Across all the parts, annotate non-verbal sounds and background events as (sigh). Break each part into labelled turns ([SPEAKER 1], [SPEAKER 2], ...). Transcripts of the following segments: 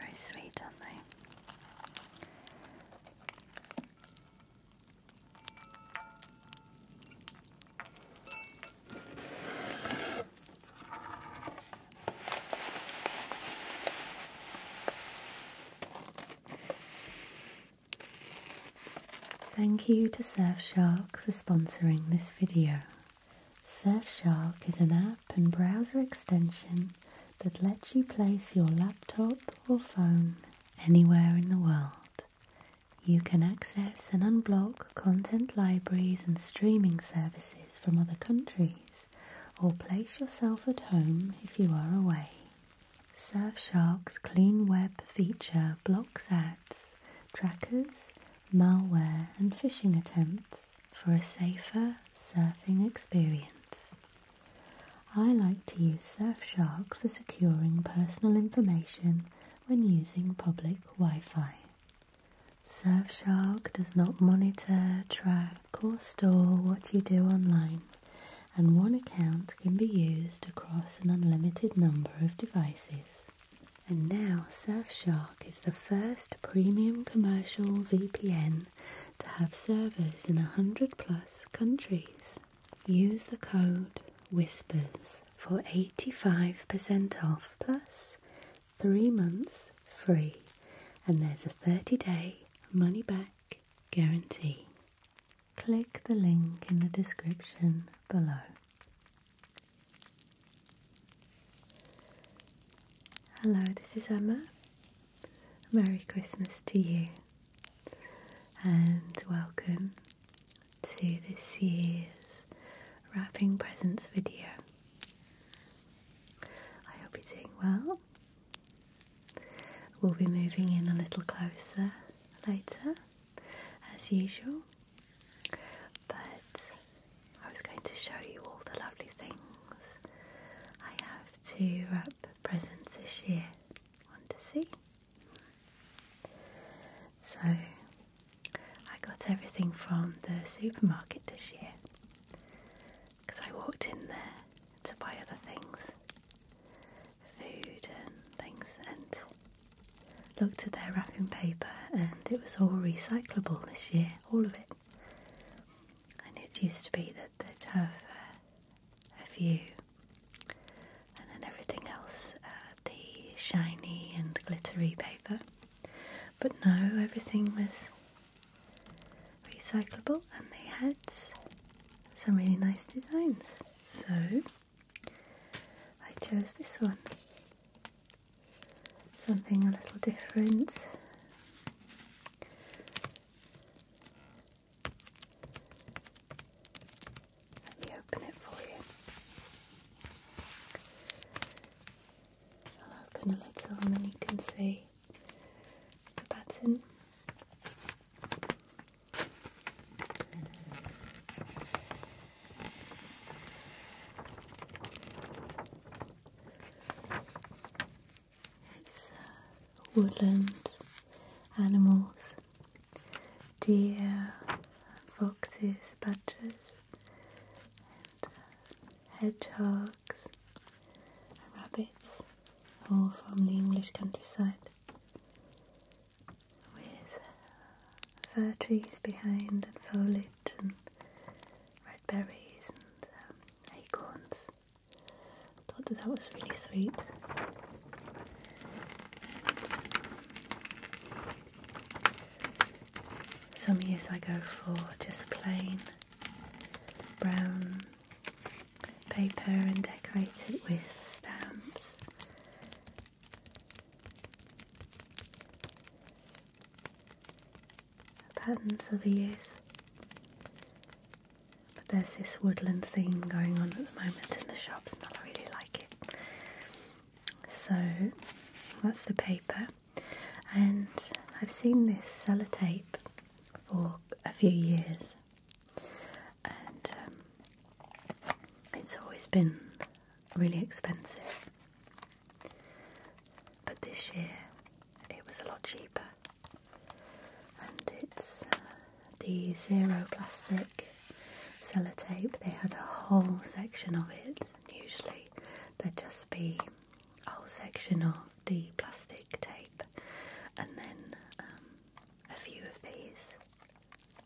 [SPEAKER 1] Very sweet, aren't they? Thank you to Surfshark for sponsoring this video. Surfshark is an app and browser extension that lets you place your laptop or phone anywhere in the world. You can access and unblock content libraries and streaming services from other countries or place yourself at home if you are away. Surfshark's clean web feature blocks ads, trackers, malware, and phishing attempts for a safer surfing experience. I like to use Surfshark for securing personal information when using public Wi Fi. Surfshark does not monitor, track, or store what you do online, and one account can be used across an unlimited number of devices. And now, Surfshark is the first premium commercial VPN to have servers in 100 plus countries. Use the code WHISPERS for 85% off plus three months free, and there's a 30 day money back guarantee. Click the link in the description below. Hello, this is Emma. Merry Christmas to you and welcome to this year's wrapping presents video. I hope you're doing well. We'll be moving in a little closer later, as usual. But I was going to show you all the lovely things I have to wrap presents this year. Want to see? So I got everything from the supermarket this year because I walked in there to buy other things, food and things, and looked at their wrapping paper, and it was all recyclable this year, all of it. And it used to be that they'd have a few, and then everything else, uh, the shiny and glittery paper. But now everything was recyclable and they had some really nice designs. So I chose this one. Something a little different. Let me open it for you. I'll open a little and then you can see the button. It's a uh, woodland animals, deer, foxes, badgers, uh, hedgehogs, rabbits, all from the English countryside, with uh, fir trees behind and foliage and red berries and um, acorns. I thought that, that was really sweet. Some years I go for just plain brown paper and decorate it with stamps. patterns of these. But there's this woodland theme going on at the moment in the shops and I really like it. So that's the paper and I've seen this sellotape for a few years and um, it's always been really expensive but this year it was a lot cheaper and it's uh, the zero plastic sellotape they had a whole section of it usually there'd just be a whole section of the plastic tape, and then um, a few of these,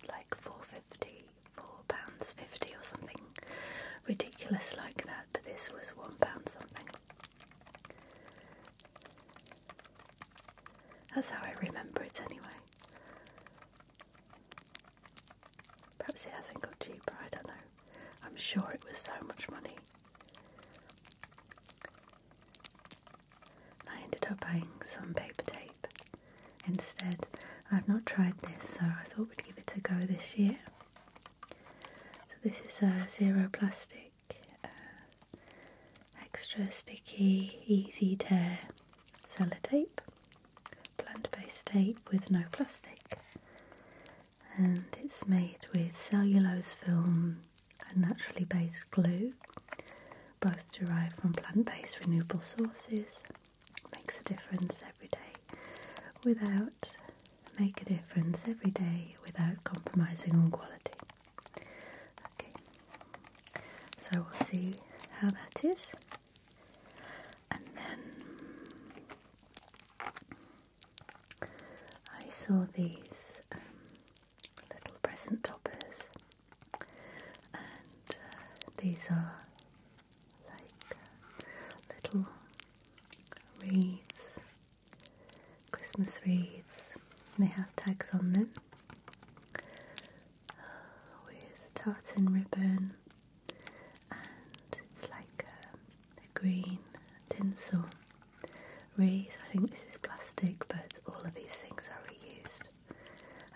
[SPEAKER 1] like four fifty, four pounds fifty or something ridiculous like that. But this was one pound something. That's how I remember it anyway. Perhaps it hasn't got cheaper, I don't know. I'm sure it was so much money. I ended up buying some paper tape instead. I've not tried this, so I thought we'd give it a go this year. So this is a zero plastic, uh, extra sticky, easy tear sellotape, plant-based tape with no plastic and it's made with cellulose film and naturally based glue, both derived from plant based renewable sources. Makes a difference every day without make a difference every day without compromising on quality. Okay, so we'll see how that is, and then I saw these um, little present toppers, and uh, these are like uh, little wreaths, Christmas wreaths. They have tags on them uh, with tartan ribbon, and it's like a green tinsel wreath. I think this is plastic, but all of these things are reused.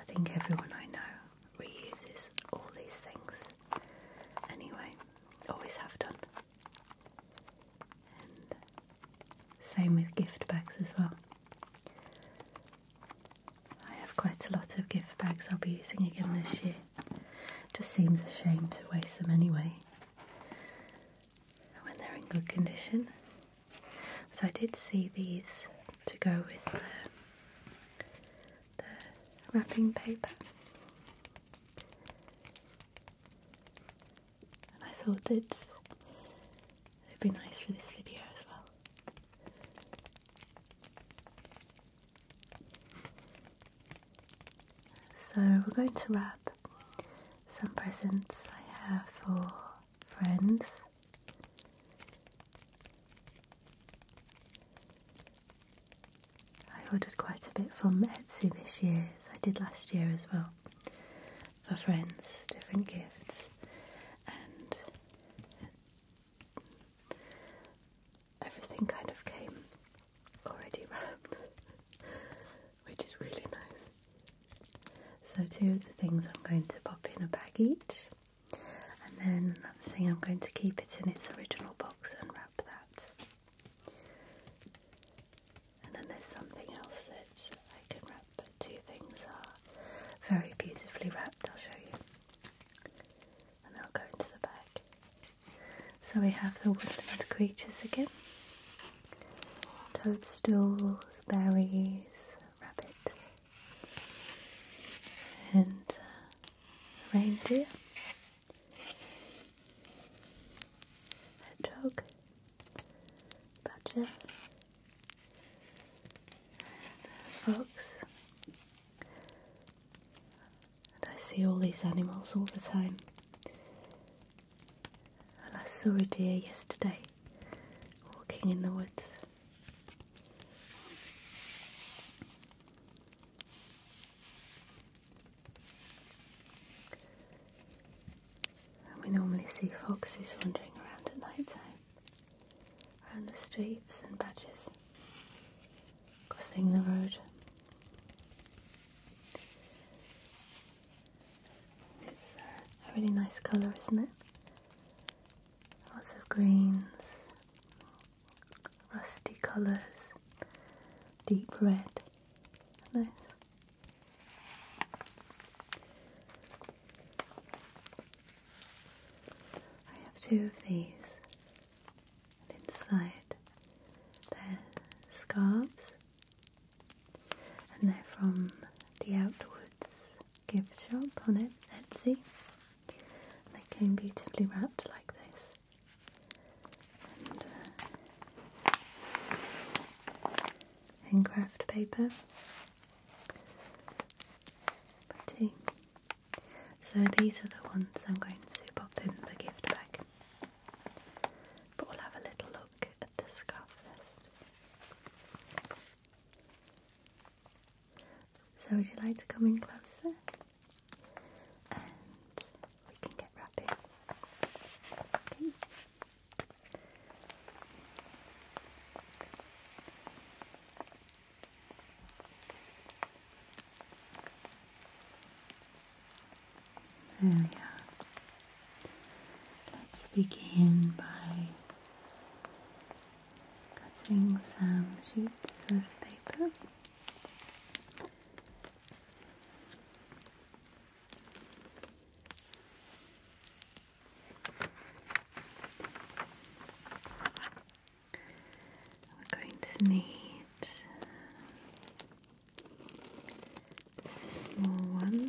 [SPEAKER 1] I think everyone I know reuses all these things. Anyway, always have done. same with gift bags as well. I have quite a lot of gift bags I'll be using again this year. Just seems a shame to waste them anyway when they're in good condition. So I did see these to go with the, wrapping paper. And I thought it'd be nice for this video as well. So we're going to wrap some presents I have for friends. I ordered quite a bit from Etsy this year, as I did last year as well, for friends, different gifts. And everything kind of came already wrapped, (laughs) which is really nice. So two of the things I'm going to pop in a bag each, and then another thing I'm going to keep it in its original box and wrap that. And then there's something else that I can wrap, two things are very beautifully wrapped, I'll show you. And I'll go into the bag. So we have the woodland creatures again. Toadstools, berries, rabbit, and uh, reindeer, hedgehog, badger, uh, fox. I see all these animals all the time. And I saw a deer yesterday walking in the woods. we normally see foxes wandering around at night time, around the streets and badges, crossing the road. It's a really nice colour, isn't it? Lots of greens, rusty colours, deep red. Nice. I have two of these. And inside, they scarves and they're from the Outwoods gift shop on it, Etsy. And they came beautifully wrapped like this. And craft uh, paper. Pretty. So these are the ones I'm going to pop in the gift bag. But we'll have a little look at this scarf first. So, would you like to come in closer? And we can get wrapping. Okay. There we are. Let's begin by cutting some sheets of paper. We're going to need small one.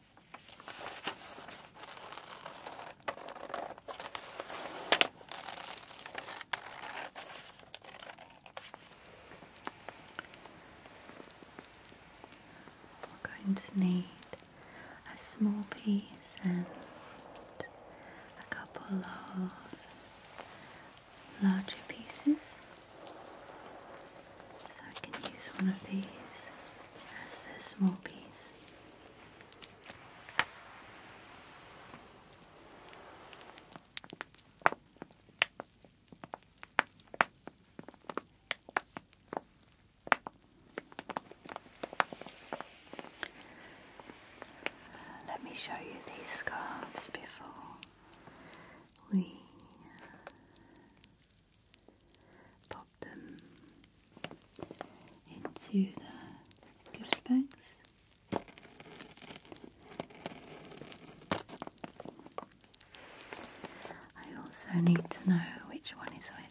[SPEAKER 1] We're going to need a small piece and a couple of larger pieces. So I can use one of these as the small piece. Let me show you these scarves before we pop them into the gift bags. I also need to know which one is which.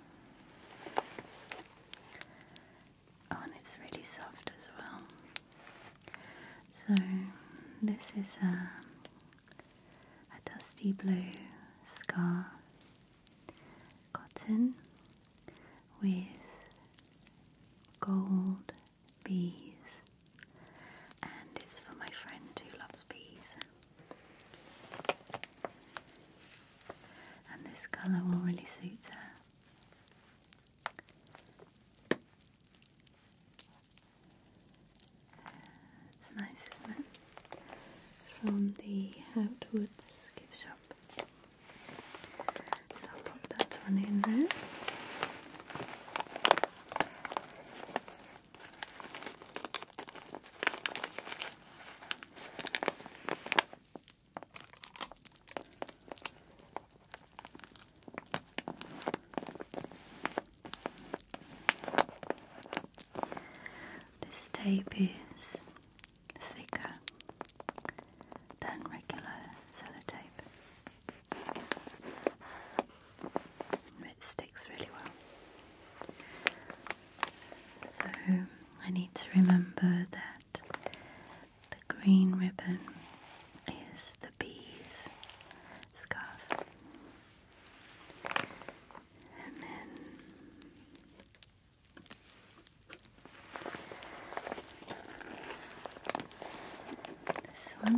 [SPEAKER 1] Oh, and it's really soft as well. So, this is a, um, a dusty blue scarf cotton with gold bees, and it's for my friend who loves bees and this colour will really suit her. It's nice, isn't it? From the Outwoods gift shop. So I'll pop that one in there. This tape is thicker than regular sellotape. It sticks really well. So I need to remember that the green ribbon is the bee's scarf. And then this one.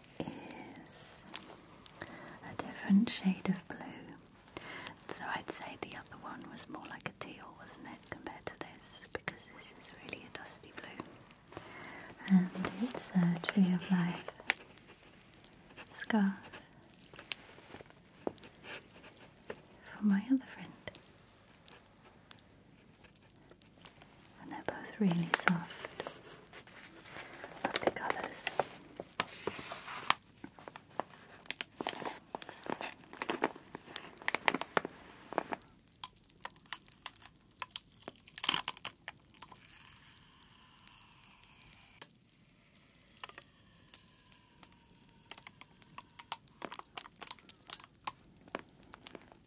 [SPEAKER 1] is a different shade of blue. So I'd say the other one was more like a teal, wasn't it, compared to this? Because this is really a dusty blue. And it's a Tree of Life scarf for my other friend and they're both really soft. Love the colours.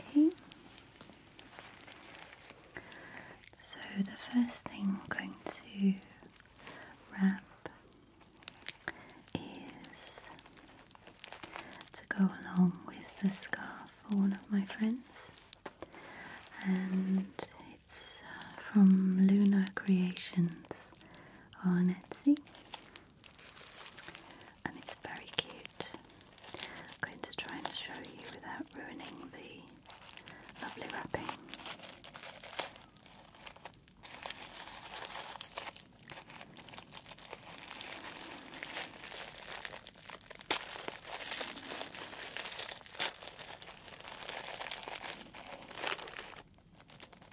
[SPEAKER 1] Okay. So the first thing I'm going to wrap is to go along with the scarf for one of my friends, and it's uh, from Lunar Creations on Etsy and it's very cute. I'm going to try and show you without ruining the lovely wrapping.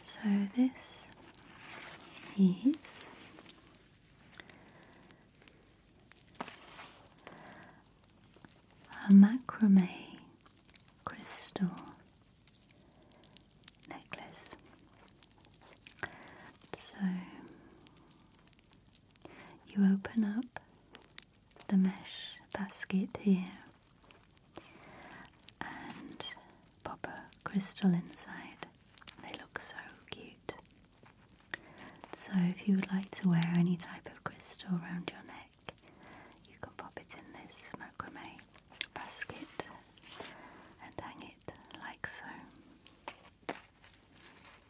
[SPEAKER 1] So this is a macrame crystal necklace. So you open up the mesh basket here and pop a crystal inside. They look so cute. So if you would like to wear any type of crystal around your neck, you can pop it in this macrame basket and hang it like so.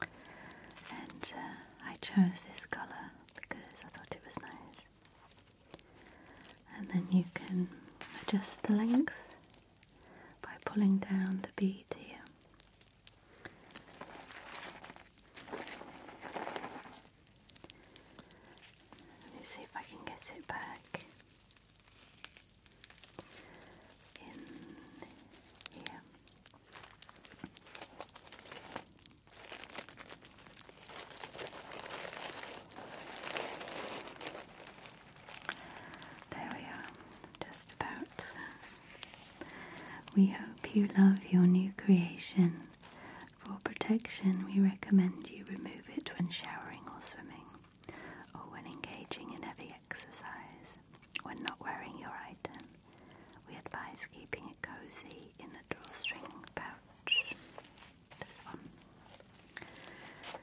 [SPEAKER 1] And uh, I chose this colour because I thought it was nice. And then you can adjust the length by pulling down the bead here. Let me see if I can get it back in here. There we are, just about. We hope you love your new creation. For protection, we recommend you remove it when showering or swimming, or when engaging in heavy exercise, when not wearing your item. We advise keeping it cozy in a drawstring pouch. This one.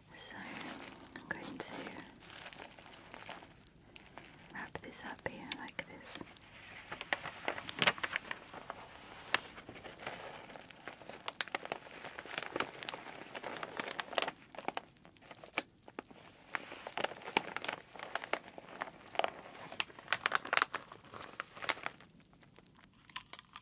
[SPEAKER 1] So I'm going to wrap this up here like this.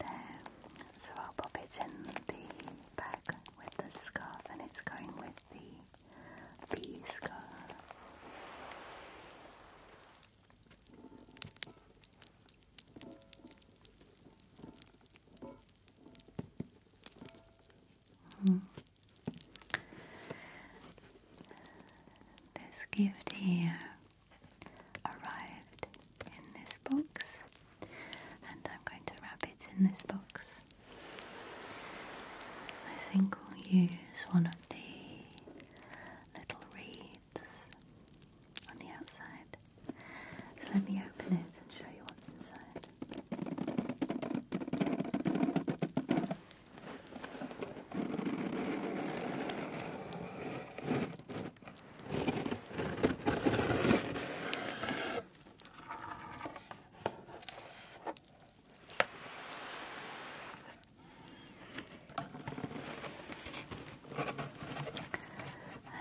[SPEAKER 1] So I'll pop it in the bag with the scarf, and it's going with the bee scarf. Mm-hmm. This gift here arrived in this box and I'm going to wrap it in this box. I think we'll use one of the little reeds on the outside. So let me open it and show you what's inside.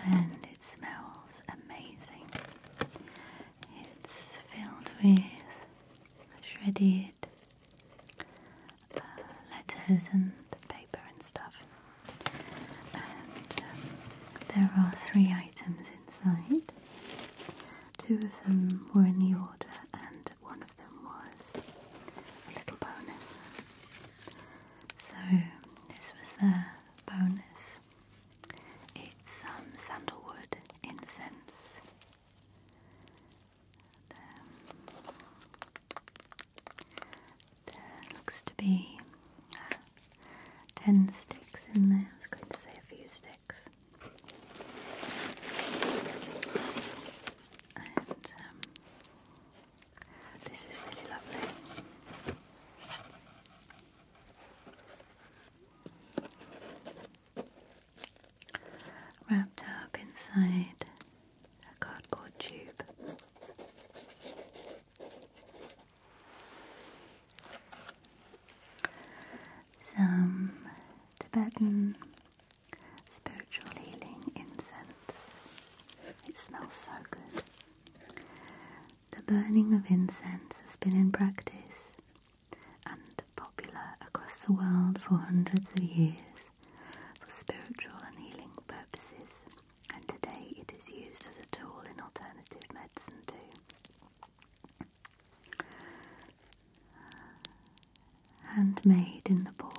[SPEAKER 1] And it smells amazing. It's filled with shredded uh, letters and paper and stuff. Um, there are three items inside. Two of them were in the order, and one of them was a little bonus. So this was the bonus. It's some um, sandalwood incense. Um, there looks to be uh, ten sticks in there. I was going to say a few sticks. And um, this is really lovely. Wrapped up inside a cardboard tube. Some Tibetan spiritual healing incense. It smells so good. The burning of incense has been in practice and popular across the world for hundreds of years for spiritual and healing purposes and today it is used as a tool in alternative medicine too. Uh, handmade in Nepal.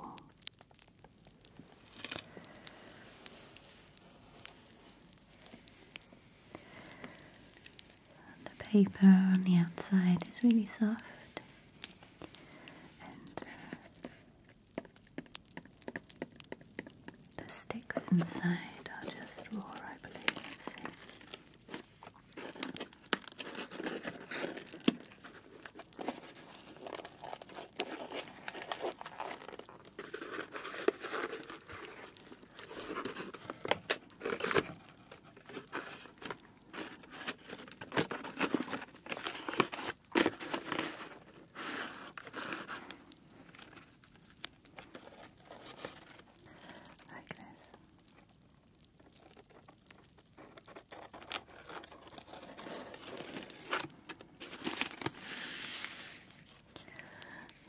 [SPEAKER 1] And the paper on the outside is really soft uh, the sticks inside are just raw, I believe.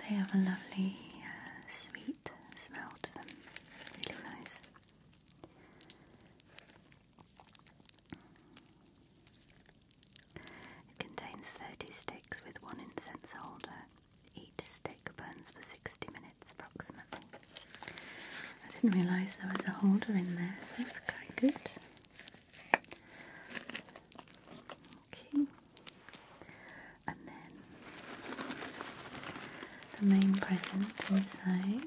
[SPEAKER 1] They have a lovely uh, sweet smell to them, really nice. It contains 30 sticks with one incense holder. Each stick burns for 60 minutes approximately. I didn't realise there was a holder in there, that's quite good. Okay. And then the main present inside.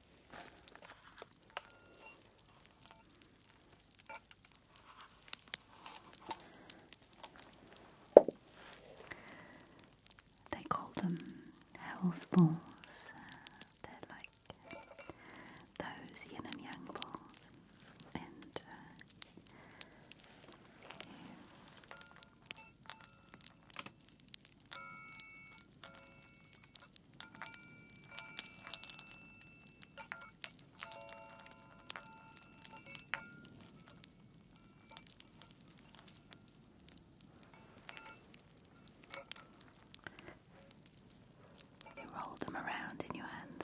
[SPEAKER 1] They call them hell's balls. They're like those yin and yang balls, and uh, you roll them around in your hands.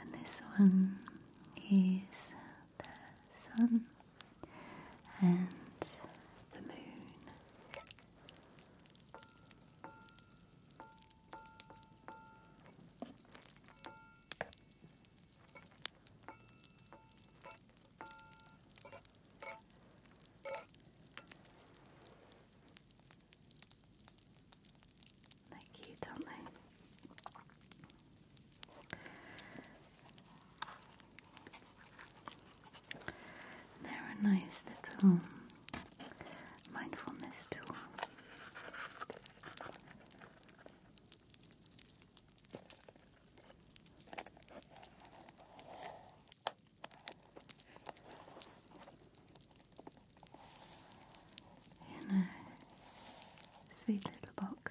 [SPEAKER 1] And this one is the sun and the moon. They're cute, aren't they? They're nice little mindfulness tool. In a sweet little box.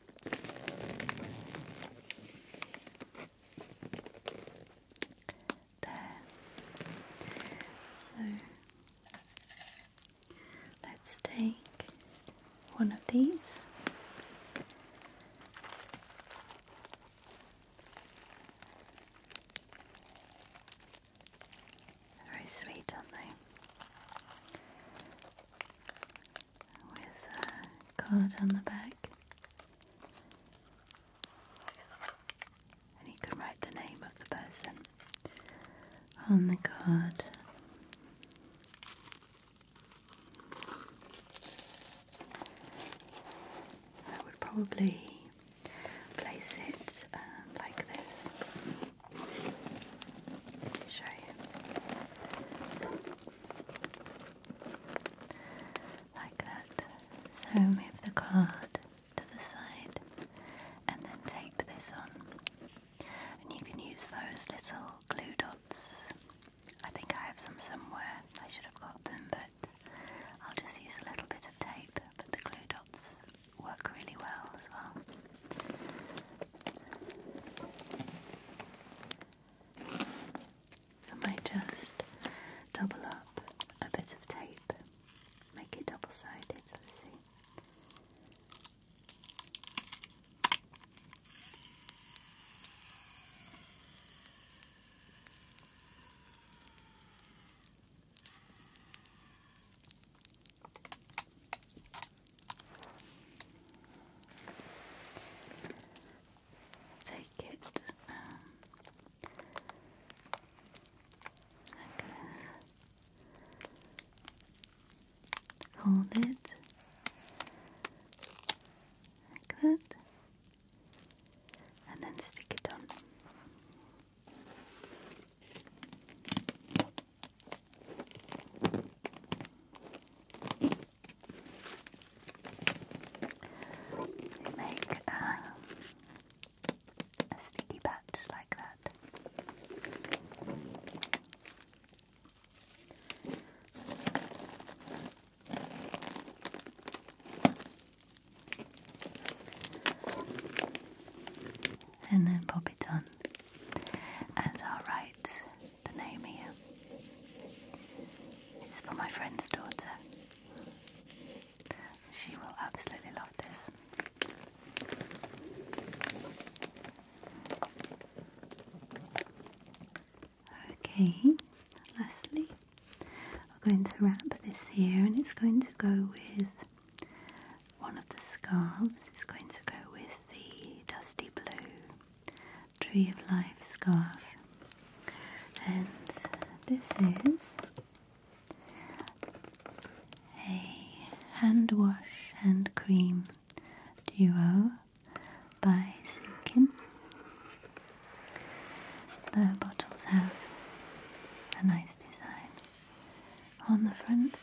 [SPEAKER 1] So let's take one of these. very sweet, aren't they? with a card on the back. And you can write the name of the person on the card. I would probably place it um, like this. Show you. Like that. So move the card to the side and then tape this on. And you can use those little glue dots. I think I have some somewhere. I should have got them, but I'll just use a little bit of tape. But the glue dots work really well as well. I might just double up a bit of tape, make it double sided, let's see take it um, hold it like that, and then stick it on make um, a sticky patch like that. And then pop it on, and i the name here. It's for my friend's daughter. She will absolutely love this. Okay, lastly, we're going to wrap this here and it's going to go with one of the scarves, it's going to go with the dusty blue Tree of Life scarf, and this is a hand wash and cream duo by Silkin. The bottles have a nice design on the front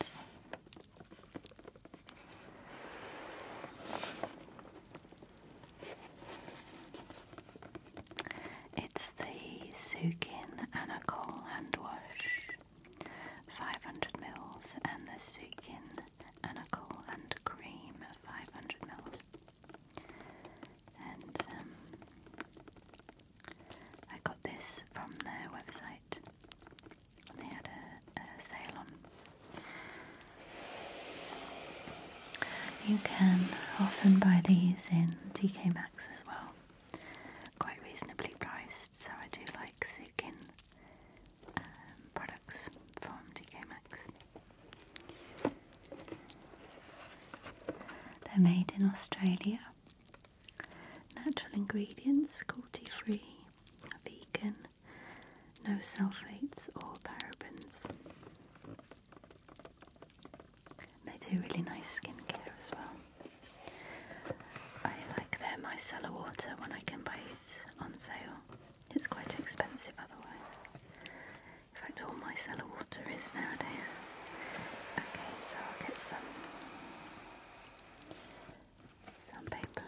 [SPEAKER 1] it's the Sukin Anacol hand wash, 500 mils, and the Sukin Anacol and cream, 500 mils. And um, I got this from their website. They had a sale on you can often buy these in TK Maxx as well, quite reasonably priced. So I do like seeking um, products from TK Maxx. They're made in Australia. Natural ingredients, cruelty free, vegan, no sulfates or parabens. They do really nice skincare as well. I like their micellar water when I can buy it on sale. It's quite expensive otherwise. In fact, all micellar water is nowadays. Okay, so I'll get some some paper.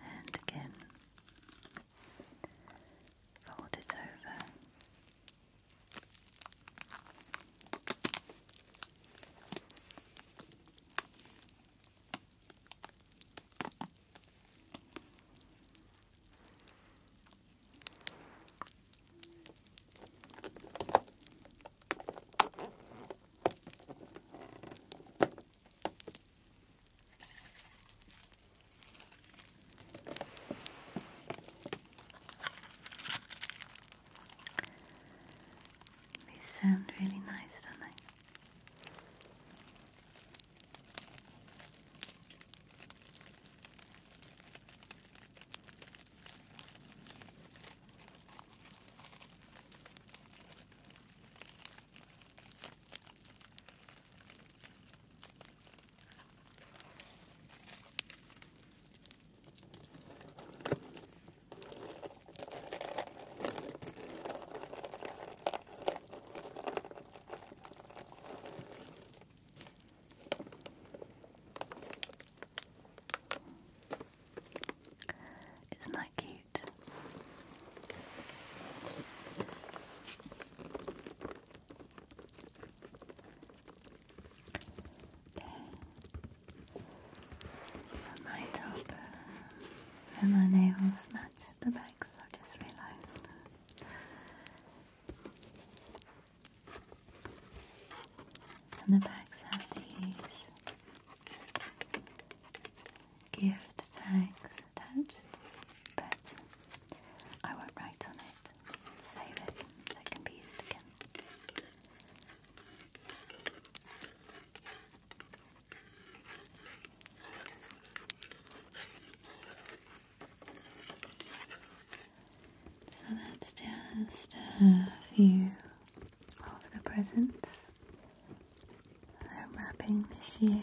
[SPEAKER 1] And again, fold it over. They sound really nice, don't they? It's not cute. My top uh, and my nails match the bags, I just realized. And the bags have these Gift tags attached. But I won't write on it. Save it so can be used again. So that's just a few of the presents I'm wrapping this year.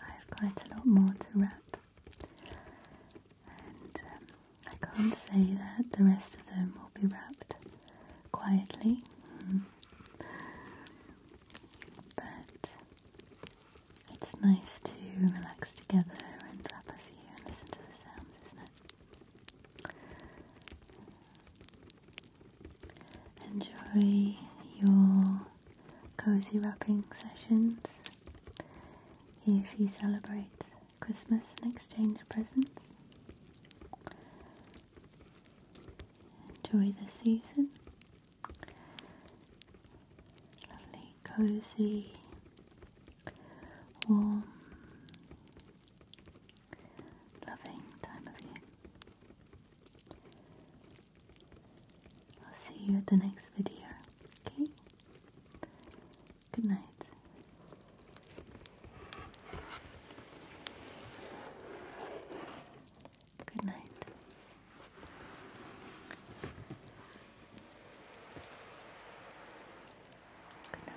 [SPEAKER 1] I've quite a lot more to wrap. And um, I can't say that the rest of them will be wrapped quietly. Mm. But it's nice to relax together and wrap a few and listen to the sounds, isn't it? enjoy your cozy wrapping sessions. If you celebrate Christmas and exchange presents, enjoy the season. Lovely, cozy, warm, loving time of year. I'll see you at the next video, okay? Good night. Good night. Good night.